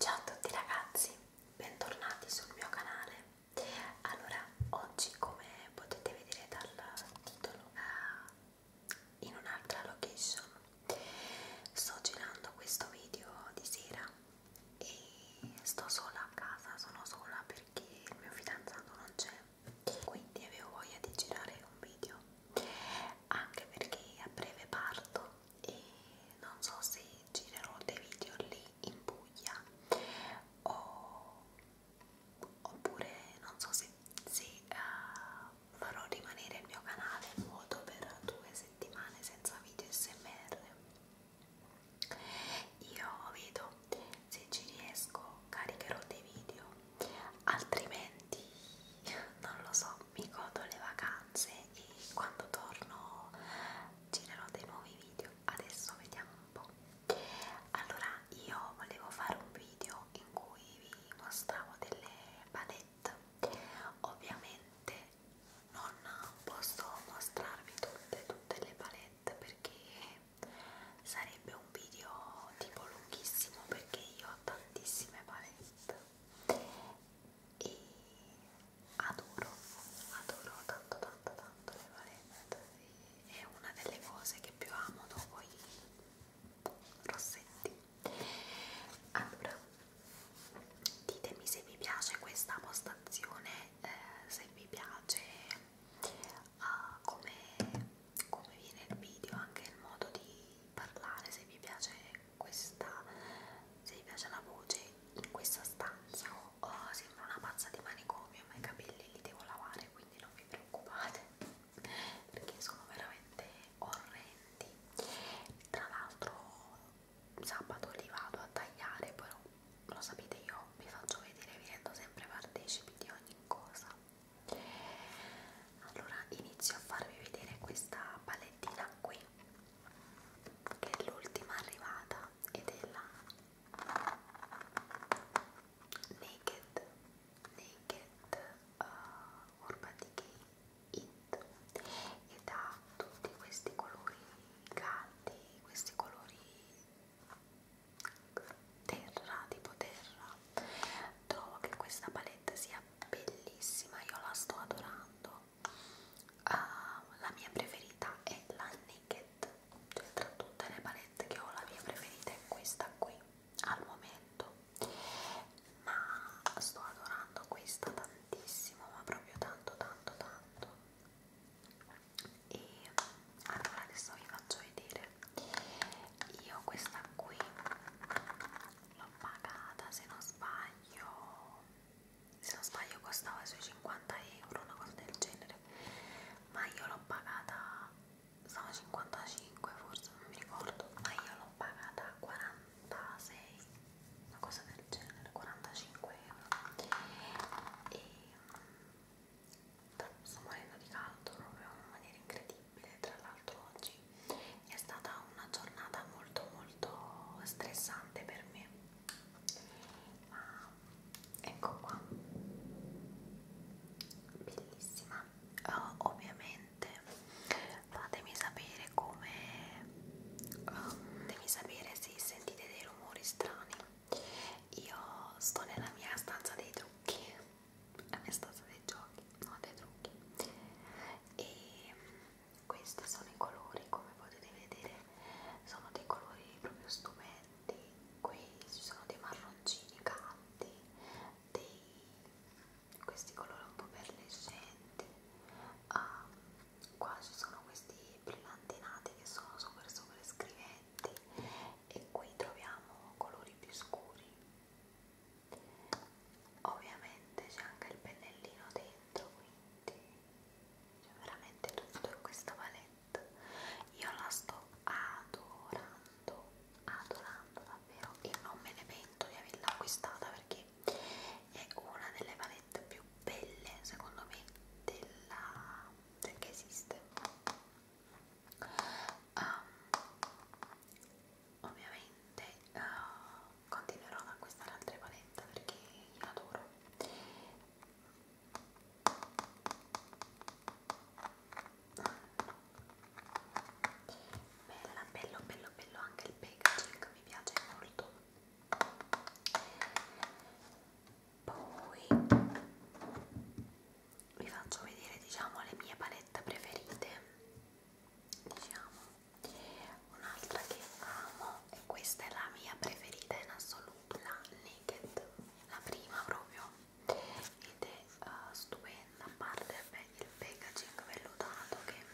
Ciao a tutti ragazzi, bentornati sul mio canale. Allora, oggi come potete vedere dal titolo eh, in un'altra location sto girando questo video di sera e sto sola a casa, sono sola perché il mio fidanzato non c'è, quindi avevo voglia di girare un video anche perché a breve parto e non so se girerò dei video lì in Puglia o, oppure non so se, se uh, farò rimanere il mio canale vuoto per due settimane senza video smr io vedo se ci riesco caricherò dei video altrimenti non lo so mi godo le vacanze e quando torno girerò dei nuovi video. Adesso vediamo un po'. Allora, io volevo fare un video in cui vi mostravo delle palette. Ovviamente non posso mostrarvi tutte, tutte le palette perché sarebbe un video tipo lunghissimo perché io ho tantissime palette e adoro, adoro tanto tanto tanto le valette è una delle cose che più amo dopo i rossetti allora ditemi se vi piace questa postazione eh, se vi piace uh, come, come viene il video anche il modo di parlare se vi piace questa se vi piace la voce in questa stanza oh, sembra una pazza di manicomio ma i capelli li devo lavare quindi non vi preoccupate perché sono veramente orrendi tra l'altro sabato li vado a tagliare però lo sapete io vi faccio vedere vi rendo sempre partecipi di ogni cosa allora inizio a farvi vedere questa palettina qui che è l'ultima arrivata ed è la Naked Naked uh, Urban Decay It ed ha tutti questi colori caldi, questi colori terra, tipo terra trovo che questa palette sia bellissima, io la sto adorando uh, la mia preferita è la Naked cioè tra tutte le palette che ho la mia preferita è questa qui al momento ma sto adorando questa tantissimo ma proprio tanto tanto tanto e allora adesso vi faccio vedere io questa qui l'ho pagata se non sbaglio se non sbaglio costava sui 50 euro una cosa del genere ma io l'ho pagata stava 55 forse non mi ricordo ma io l'ho pagata 46 una cosa del genere 45 euro e sto morendo di caldo proprio in maniera incredibile tra l'altro oggi è stata una giornata molto molto stressante per me ma ah, ecco qua bellissima oh, ovviamente fatemi sapere come oh, fatemi sapere se sentite dei rumori strani io sto nella mia stanza dei trucchi la mia stanza dei giochi non dei trucchi e questi sono i colori come potete vedere sono dei colori proprio stupendi qui ci sono dei marroncini canti dei questi colori un po' perlescenti ah, ehm, qua ci sono questi brillantinati che sono super super scriventi e qui troviamo colori più scuri ovviamente c'è anche il pennellino dentro quindi c'è cioè, veramente tutto in questa palette. Io la sto adorando, adorando davvero e non me ne pento di averla acquistata perché è una delle palette più belle secondo me della che esiste. Um, ovviamente uh, continuerò ad acquistare altre palette perché io adoro bella bello bello bello anche il packaging mi piace molto poi vi faccio vedere diciamo le mie palette preferite diciamo Un'altra che amo, e questa è la mia preferita in assoluto, la Naked, la prima proprio, ed è uh, stupenda, a parte il packaging vellutato che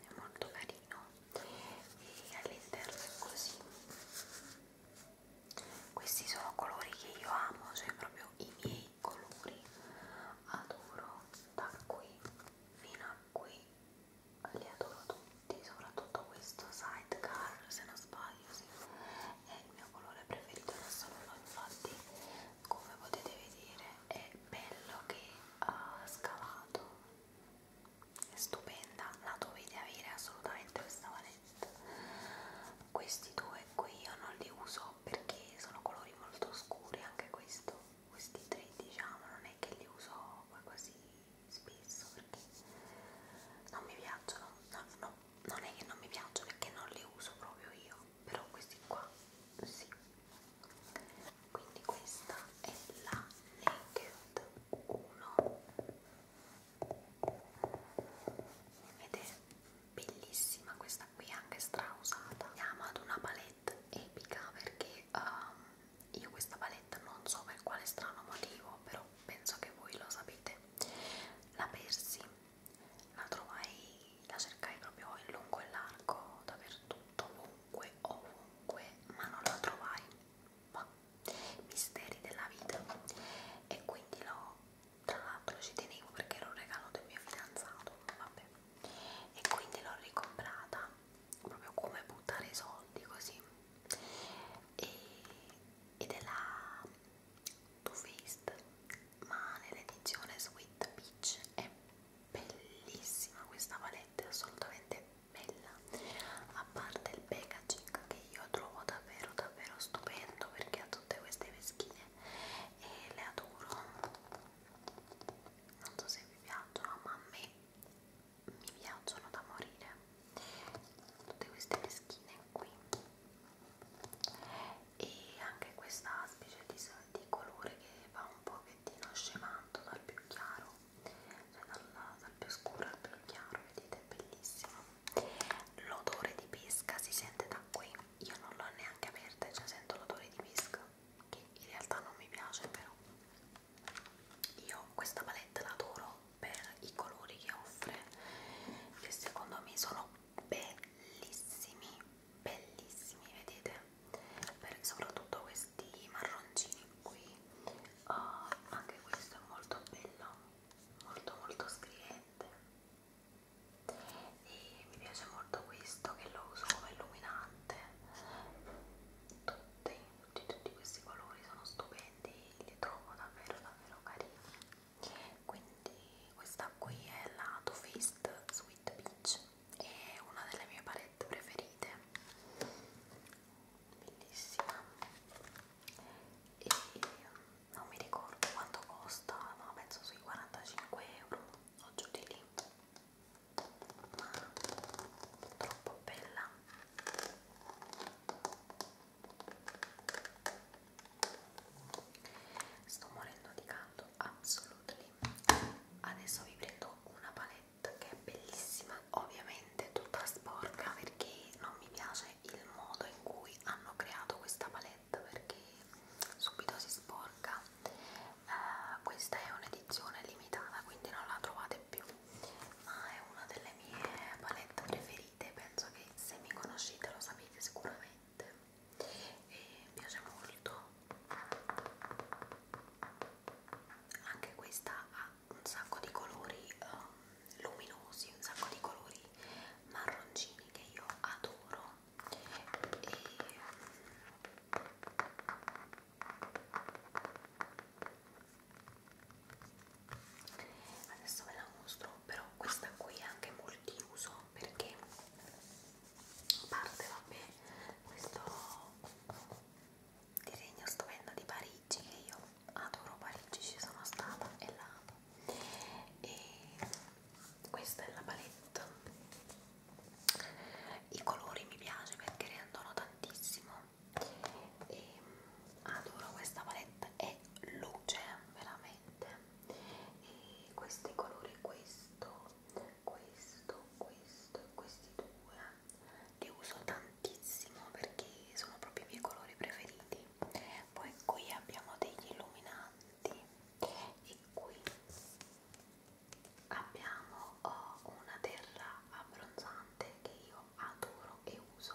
è molto carino e all'interno è così questi sono colori che io amo, cioè proprio i miei i colori adoro da qui fino a qui li adoro tutti soprattutto questo sidecar se non sbaglio sì. è il mio colore preferito adesso non lo infatti come potete vedere è bello che ha scavato è stupenda la dovete avere assolutamente questa valetta questi due qui io non li uso perché sono colori molto scuri anche questo questi tre diciamo non è che li uso poi così spesso perché non mi piacciono no, no, non è che non mi piacciono è che non li uso proprio io però questi qua sì quindi questa è la Naked 1 ed è bellissima questa qui anche strausata andiamo ad una palette palette epica perché um, io questa palette non so per quale strano motivo però penso che voi lo sapete la persi la trovai la cercai proprio in lungo e largo dappertutto ovunque ovunque ma non la trovai ma misteri della vita e quindi l'ho tra l'altro ci tenevo perché era un regalo del mio fidanzato vabbè e quindi l'ho ricomprata proprio come buttare i soldi così e, ed è la Too Faced ma nell'edizione Sweet Peach è bellissima questa palette è assolutamente bella a parte il packaging che io trovo davvero davvero stupendo perché ha tutte queste peschine e le adoro non so se vi piacciono ma a me mi piacciono da morire tutte queste meschine qui e anche questa specie di, di colore che va un pochettino scemando dal più chiaro cioè dal, dal più scuro al più chiaro vedete è bellissimo l'odore di pesca si sente da qui io non l'ho neanche aperta e cioè già sento l'odore di pesca che in realtà non mi piace però io questa palette la adoro per i colori che offre che secondo me sono bellissimi bellissimi vedete per soprattutto questi marroncini qui oh, anche questo è molto bello molto molto scriente e mi piace molto questo che lo uso come illuminante tutti, tutti, tutti questi colori sono stupendi li trovo davvero davvero carini quindi questa qui è la Too Faced Sweet Peach è una delle mie palette preferite bellissima e non mi ricordo quanto costa ma penso sui 45 euro o giù di lì ma troppo bella sto morendo di caldo absolutely adesso vi prendo una palette che è bellissima ovviamente tutta sporca perché non mi piace il modo in cui hanno creato questa palette perché subito si sporca eh, questa è un'edizione limitata quindi non la trovate più ma è una delle mie palette preferite penso che se mi conoscete lo sapete sicuramente e mi piace molto anche questa ha un sacco di colori um, luminosi un sacco di colori marroncini che io adoro e adesso ve la mostro però questa qui è anche multiuso perché parte vabbè questo disegno stupendo di Parigi che io adoro Parigi ci sono stata e la amo e questa è la palette i colori mi piace perché rendono tantissimo e adoro questa palette è luce veramente e questi colori questo questo questo e questi due li uso tantissimo perché sono proprio i miei colori preferiti poi qui abbiamo degli illuminanti e qui abbiamo oh, una terra abbronzante che io adoro e uso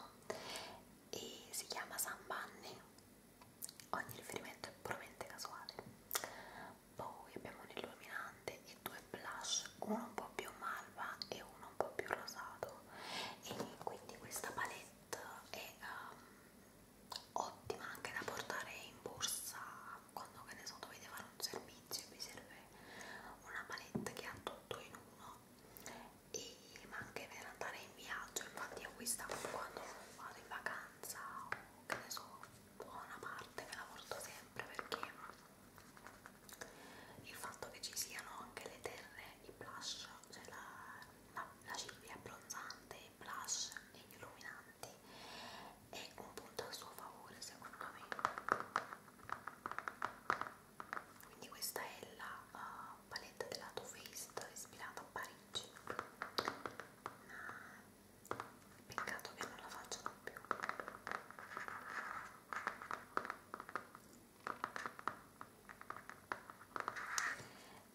e si chiama Sambanni ogni riferimento è puramente casuale poi abbiamo un illuminante e due blush uno un po' più malva e uno un po' più rosato e quindi questa palette è um, ottima anche da portare in borsa quando che ne so dovete fare un servizio amici mi serve una palette che ha tutto in uno e, ma anche per andare in viaggio infatti io questa quando vado in vacanza o che ne so buona parte me la porto sempre perché il fatto che ci siano anche le terre i blush cioè la, la, la ciglia abbronzante i blush e gli illuminanti è un punto a suo favore secondo me quindi questa è la uh, paletta della Too Faced ispirata a Parigi ma ah, peccato che non la facciano più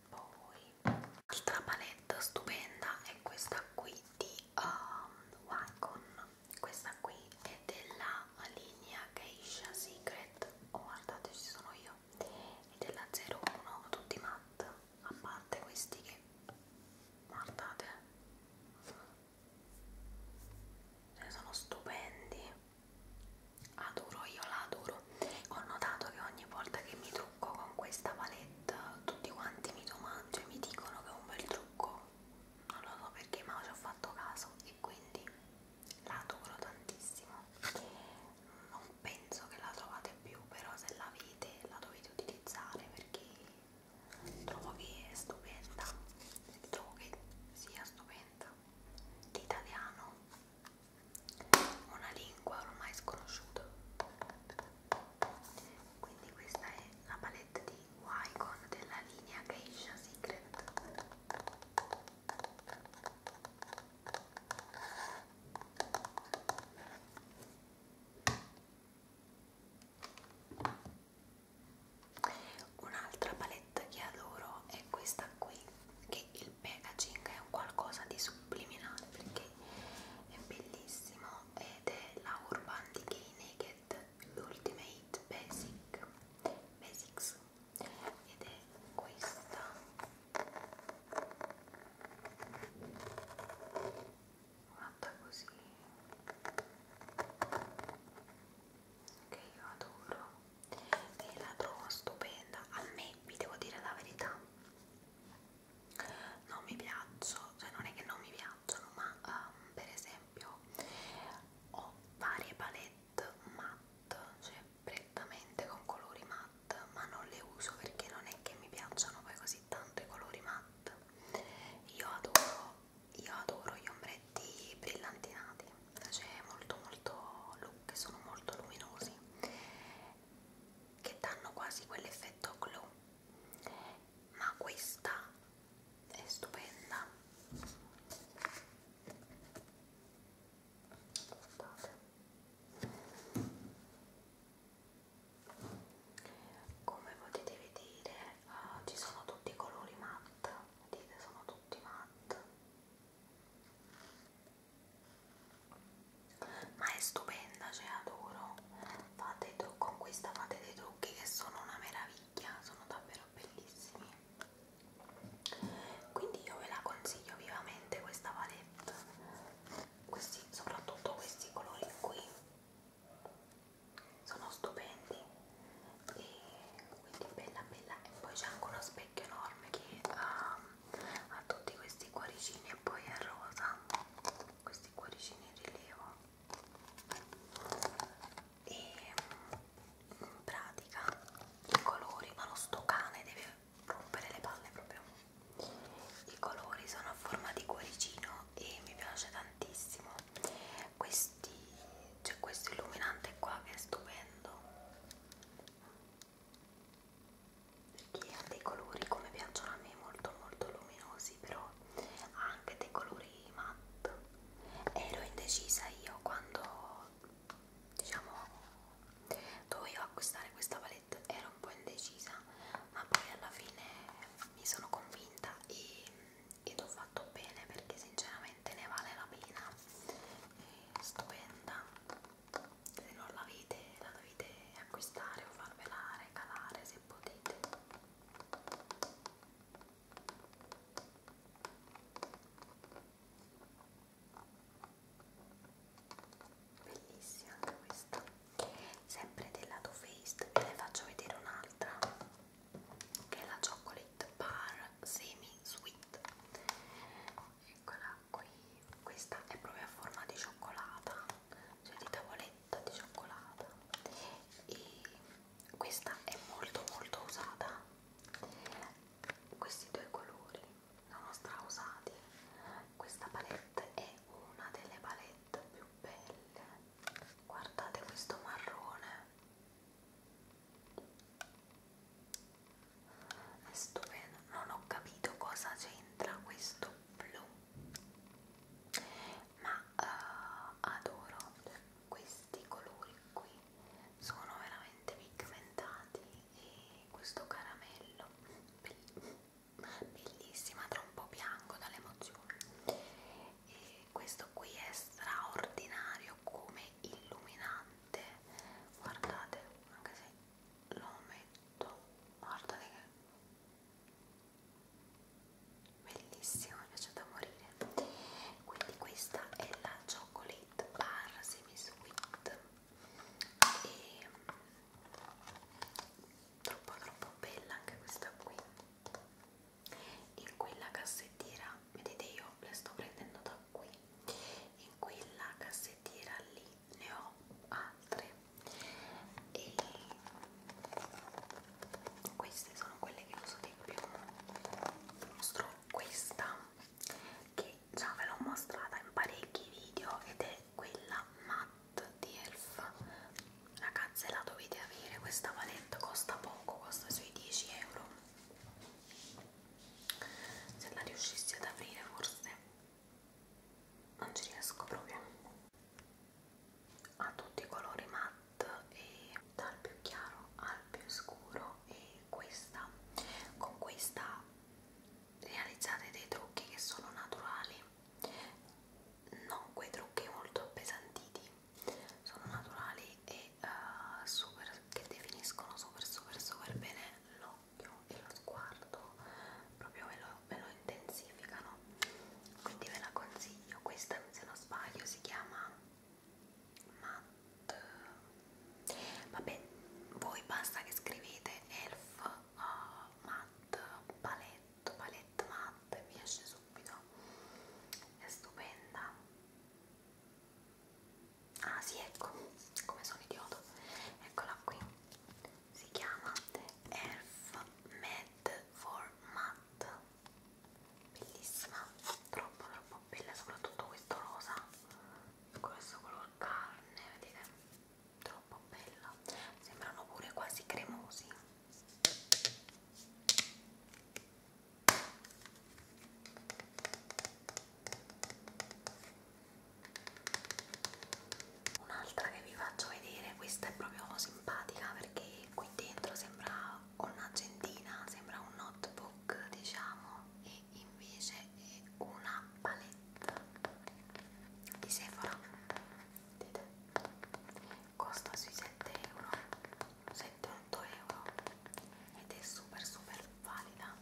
poi l'altra paletta stupenda è questa qui di um, Wagon questa qui è della linea Geisha Secret oh guardate ci sono io è della 01 tutti matte a parte questi che guardate cioè sono stupendi adoro io la adoro ho notato che ogni volta che mi trucco con questa palette tutti quanti mi domandano cioè mi dicono che è un bel trucco prosciutto non lo so perché ma ci ho fatto caso e quindi l'adoro tantissimo non penso che la trovate più però se l'avete la dovete utilizzare perché trovo che è stupenda trovo che sia stupenda l'italiano una lingua ormai sconosciuta quindi questa è la palette di Wycon della linea Geisha Secret Un'altra palette che adoro è questa qui, che il packaging è un qualcosa di subliminale perché è bellissimo ed è la Urban Decay Naked Red l'Ultimate Basic Basics ed è questa fatta così che io adoro e la trovo stupenda a me vi devo dire la verità non mi piacciono, cioè non è che non mi piacciono, ma um, per esempio ho varie palette matte, cioè prettamente con colori matte, ma non le uso perché non è che mi piacciono poi così tanto i colori matte. Io adoro, io adoro gli ombretti brillantinati, cioè molto molto look, che sono molto luminosi che danno quasi quell'effetto glow ma questa è stupenda guardate come potete vedere uh, ci sono tutti i colori matte vedete sono tutti matte ma è stupenda, cioè adoro fate con questa fate dei trucchi che sono una meraviglia sono davvero bellissimi quindi io ve la consiglio vivamente questa palette questi, soprattutto questi colori qui sono stupendi e quindi bella bella e poi c'è anche uno specchio enorme che ha, ehm, ha tutti questi cuoricini e poi è rosa questi cuoricini in rilievo e mm, in pratica i colori, ma lo sto cane deve rompere le palle proprio i colori sono a forma di cuoricino e mi piace tantissimo questi c'è cioè questo illuminante qua che è stupendo perché ha dei colori come piacciono a me molto molto luminosi però però ha anche dei colori matte ero indecisa io quando diciamo dovevo acquistare questa palette ero un po' indecisa ma poi alla fine mi sono convinta e, ed ho fatto bene perché sinceramente ne vale la pena è stupenda se non l'avete la dovete acquistare o farvela regalare se potete bellissima anche questa sempre della Too Faced ve ne faccio vedere un'altra che è la Chocolate Bar Semi Sweet eccola qui questa è proprio a forma di cioccolata cioè di tavoletta di cioccolata e questa è molto molto usata questi due colori sono strausati questa palette è una delle palette più belle guardate questo marrone è stupendo non ho capito cosa c'entra questo blu ma uh, adoro questi colori qui sono veramente pigmentati e questo caramello bellissima tra un po' bianco dall'emozione e questo qui è straordinario come illuminante guardate anche se lo metto guardate che bellissimo mi piace da morire quindi questa è la chocolate bar semi sweet e troppo troppo bella anche questa qui in quella cassettiera vedete io le sto prendendo da qui in quella cassettiera lì ne ho altre e queste sono quelle che uso di più mostro questa che già ve l'ho mostrata in parecchi video ed è quella matte di elf ragazze la dovete avere questa palette costa poco costa sui 10 euro se la riuscissi ad aprire forse non ci riesco proprio ha tutti i colori matte e dal più chiaro al più scuro e questa con questa realizzate dei trucchi che sono naturali non quei trucchi molto appesantiti sono naturali e uh, super che definiscono super super super bene l'occhio e lo sguardo proprio me lo, me lo intensificano quindi ve la consiglio questa se non sbaglio si chiama matte vabbè voi basta che scrivete elf uh, matte paletto palette matte vi esce subito è stupenda ah sì ecco come sono idiota eccola qui si chiama elf med for matte bellissima troppo troppo bella soprattutto questo rosa questo color carne vedete troppo bella sembrano pure quasi cremosi Un'altra che vi faccio vedere, questa è proprio simpatica perché qui dentro sembra un'agendina, sembra un notebook diciamo e invece è una palette di Sephora vedete costa sui 7 euro 7-8 euro ed è super super valida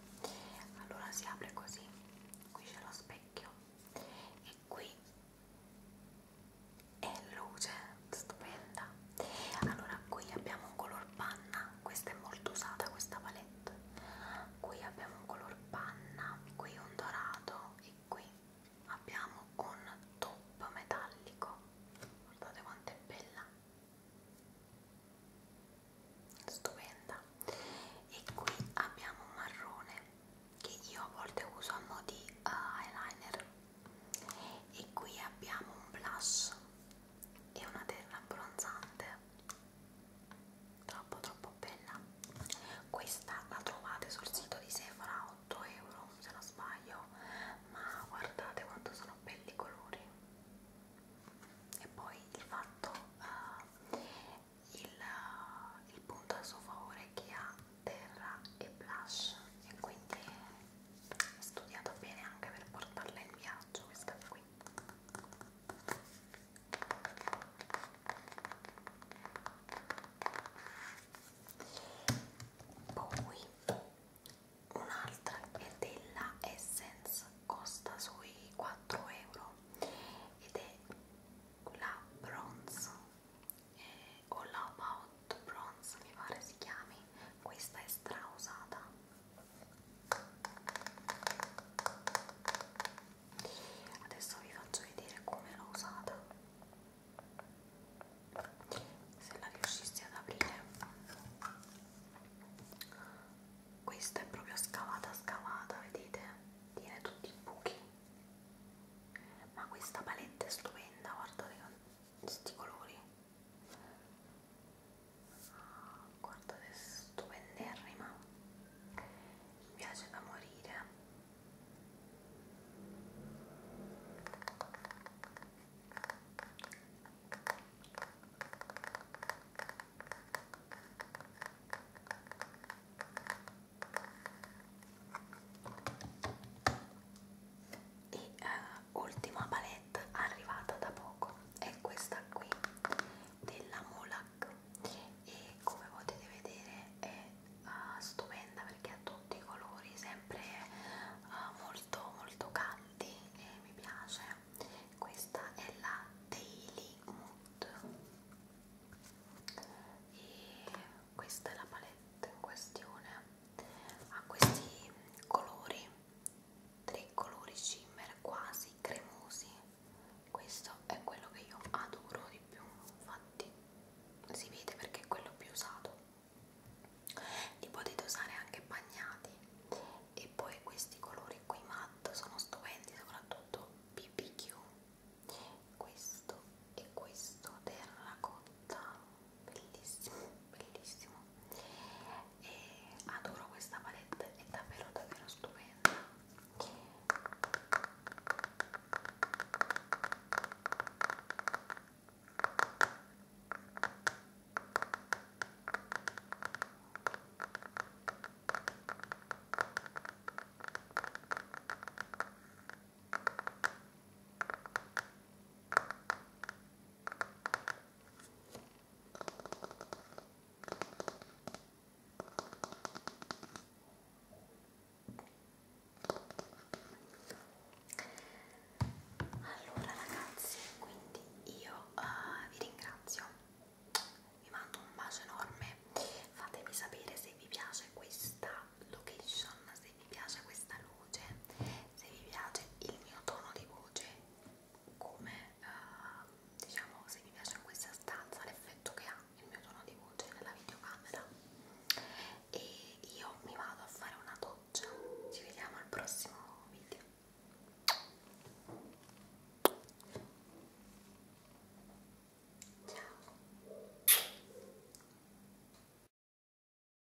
allora si apre così qui c'è lo specchio e qui è luce stupenda allora qui abbiamo un color panna questa è molto usata questa palette qui abbiamo un color panna qui un dorato e qui abbiamo un top metallico guardate quanto è bella stupenda e qui abbiamo un marrone che io a volte uso a mo' di uh, eyeliner e qui abbiamo un blush e una terra abbronzante troppo troppo bella questa la trovate sul sito di Sephora 8 euro se non sbaglio ma guardate quanto sono belli i colori e poi il fatto uh, il, il punto a suo favore è che ha terra e blush e quindi ho studiato bene anche per portarla in viaggio questa qui poi un'altra è della Essence costa sui 4 euro ed è la bronze e All About Bronze mi pare si chiami questa è strausata adesso vi faccio vedere come l'ho usata se la riuscissi ad aprire questa è proprio scavata scavata vedete tiene tutti i buchi ma questa palette è stupenda guardate tutti i colori guardate stupenderrima mi piace da morire e eh, ultima palette arrivata da poco è questa qui della Molac e come potete vedere è uh, stupenda perché ha tutti i colori sempre uh, molto molto caldi e mi piace questa è la Daily Mood e questa è la palette in questione ha questi colori tre colori shimmer quasi cremosi questo è quello che io adoro di più infatti si vede perché è quello più usato li potete usare anche bagnati e poi questi colori qui matte sono stupendi soprattutto BBQ questo e questo terracotta bellissimo, bellissimo e adoro questa palette, è davvero davvero stupenda allora ragazzi, quindi io uh, vi ringrazio, vi mando un bacio enorme, fatemi sapere se vi piace questa location, se vi piace questa luce, se vi piace il mio tono di voce, come uh, diciamo se vi piace in questa stanza l'effetto che ha il mio tono di voce nella videocamera. E io mi vado a fare una doccia. Ci vediamo al prossimo video. Ciao.